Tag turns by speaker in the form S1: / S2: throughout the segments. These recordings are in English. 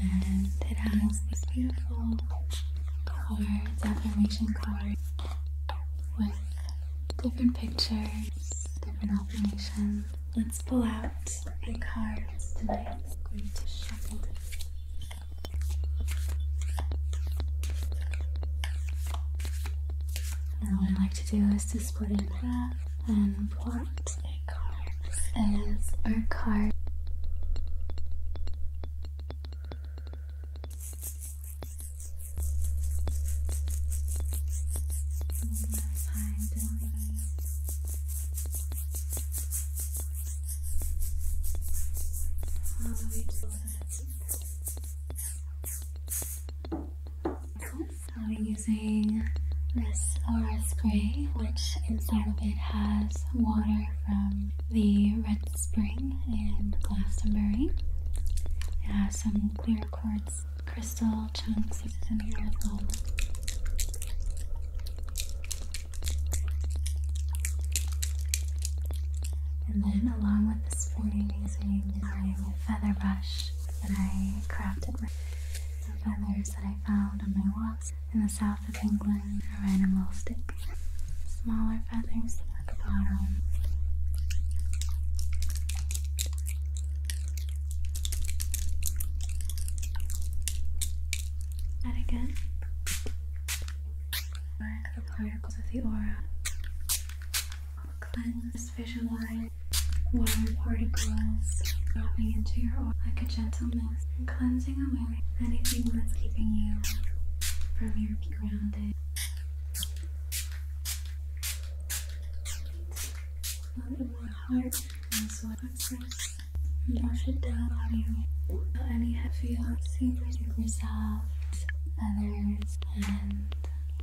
S1: And it has this beautiful color, decoration card with different pictures, different affirmations. Let's pull out the cards tonight. i going to shuffle now what I like to do is to split it up and plot a card as our card i am using this aura spray, which inside of it has water from the Red Spring in Glastonbury. It has some clear quartz crystal chunks in here as well. And then along with this fairy using my feather brush that I crafted with the feathers that I found on my walks in the south of England or animal sticks. Smaller feathers at the bottom. And again, where the particles of the aura will cleanse, visualize water particles dropping into your aura like a gentle mist cleansing away anything that's keeping you from your grounded. my Heart and I'm soil Wash it down on you. Any heavy feelings resolved, others, and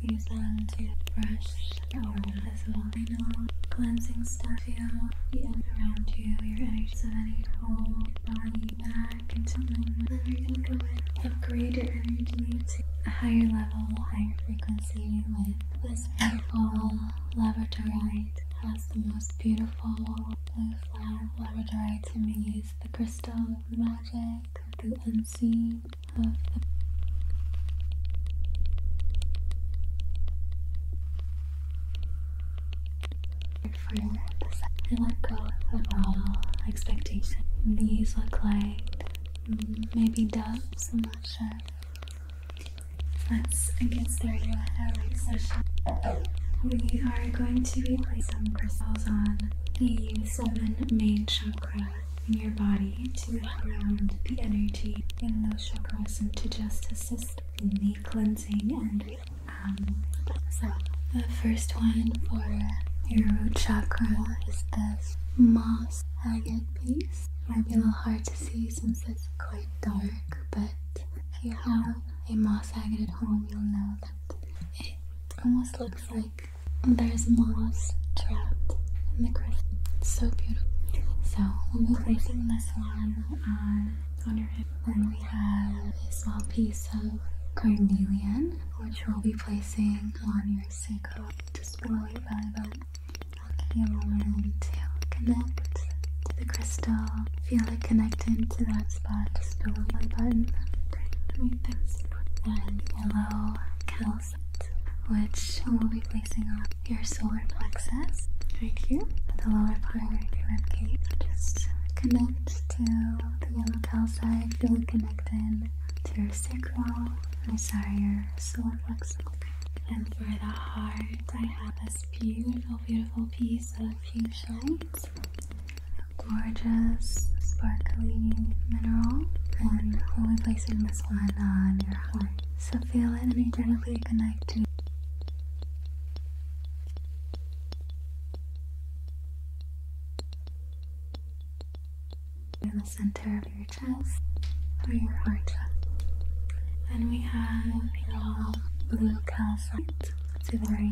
S1: use them to brush or fizzle. I know cleansing stuff feel the end around you, your energy of any whole body back into movement. Then you can go in, upgrade your energy to a higher level, higher frequency with this wonderful laboratory the most beautiful blue flower lavender to me is the crystal of the magic of the unseen of the I let go of all expectation. These look like mm, maybe doves, I'm not sure. Let's get started our session. We are going to be placing some crystals on the seven main chakra in your body to ground the energy in those chakras and to just assist in the cleansing and um, so the first one for your root chakra is this moss agate piece. Might be a little hard to see, since it's quite dark, but if you have a moss agate at home, you'll know that it almost looks like there's moss trapped in the crystal. so beautiful. So we'll be placing this one on, on your head. Then we have a small piece of carnelian, which we'll be placing on your sacral, just below your belly button you want to connect to the crystal. Feel it connecting to that spot just below my button. Right there. And yellow calcite, which we'll be placing on your solar plexus right here the lower part of your ribcage. Just connect to the yellow calcite. Feel it connecting to your sacral. I'm your solar and for the heart, I have this beautiful, beautiful piece of fuchsiite. Gorgeous, sparkling mineral. And we'll be placing this one on your heart. So feel it and energetically connect to in the center of your chest your heart. Then we have your blue calcite. It's a very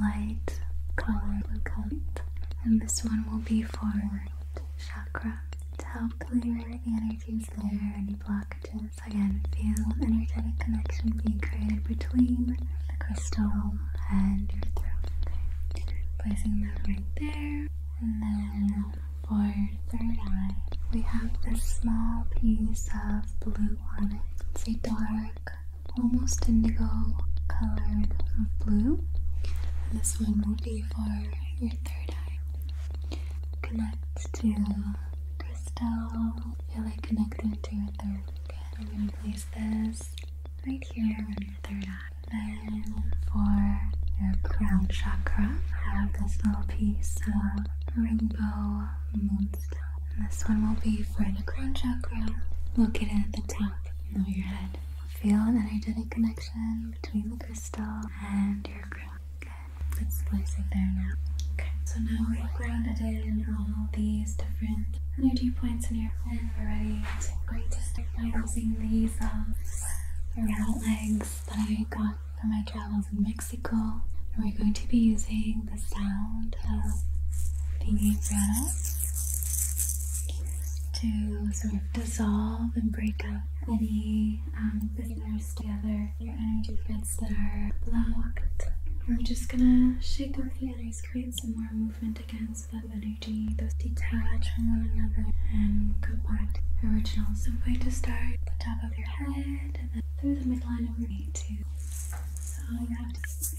S1: light color blue calcite. And this one will be for chakra to help clear the energies there, any blockages. Again, feel energetic connection being created between the crystal and your throat. Placing that right there. And then for third eye, we have this small piece of blue on it. It's a dark, almost indigo colored blue. this one will be for your third eye. Connect to crystal. Feel like connecting to your third. eye. I'm going to place this right here on your third eye then for your crown chakra, I have this little piece of rainbow moonstone. And this one will be for the crown chakra, located at the top of your head. Feel an energetic connection between the crystal and your crown. Good. Let's place it there now. Okay, so now we're grounded in all these different energy points in your head already. It's great to start by using these um, uh, round legs that I got from my travels in Mexico. And we're going to be using the sound of the piano to sort of dissolve and break up any um, visitors together, your energy bits that are blocked. We're just gonna shake off the others, create some more movement again that energy, those detach from one another and go back to the original. I'm going to start at the top of your head and then through the midline of your knee too. So you have to feel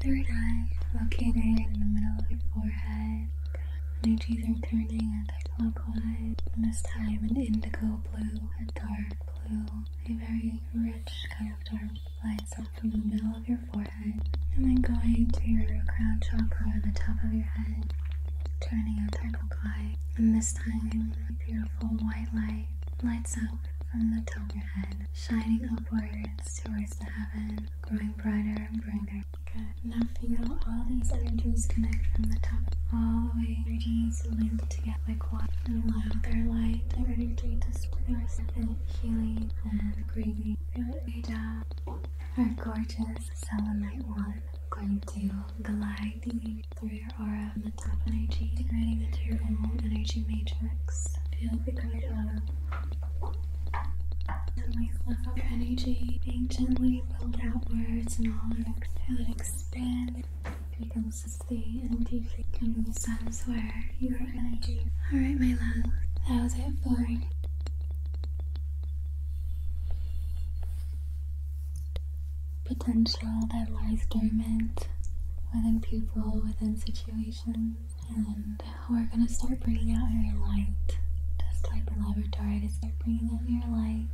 S1: Third eye located in the middle of your forehead. Energies are turning anti-clockwise, this time an indigo blue, a dark blue, a very rich kind of dark lights up from the middle of your forehead, and then going to your crown chakra on the top of your head, turning anti-clockwise, and this time a beautiful white light lights up from the top of your head, shining upwards towards the heaven, growing brighter and brighter. Good. Now feel all these energies connect from the top all the way. Energies linked together like water. And allow their light, their energy to disperse and healing and grieving. Feel down. Our gorgeous selenite one going to the through your aura and the top energy, integrating into your whole energy matrix. Feel the great love. Gently fluff your energy, being gently pulled outwards and all your exhale expand. Becomes the energy kingdom of sense where your energy. Alright, my love, that was it for potential that lies dormant within people, within situations, and we're gonna start bringing out your light, just like the laboratory to start bringing out your light,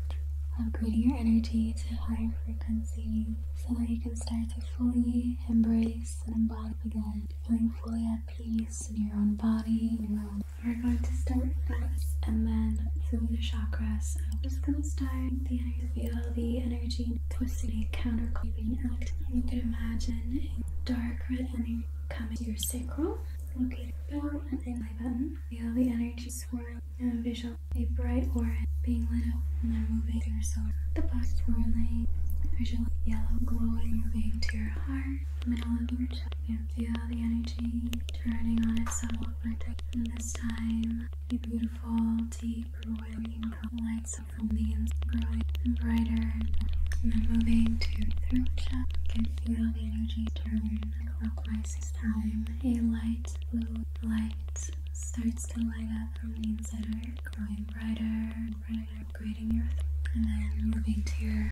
S1: upgrading your energy to higher frequencies, so that you can start to fully embrace and embody again, feeling fully at peace in your own body, your own we're going to start first and then through the chakras. I'm just going to start the energy, feel the energy twisting, counterclapping out. You can imagine a dark red energy coming to your sacral, located about an eye button. Feel the energy swirl and visual a bright aura being lit up and then moving through your soul. The box swirling, visual yellow glowing moving to your heart, middle of your chest. You feel the energy turning on itself over and this time a beautiful, deep, roiling lights up from the inside, growing and brighter and then moving to throat chakra, can feel the energy turn clockwise this time a light blue light starts to light up from the inside growing brighter, brighter, grading your throat and then moving to your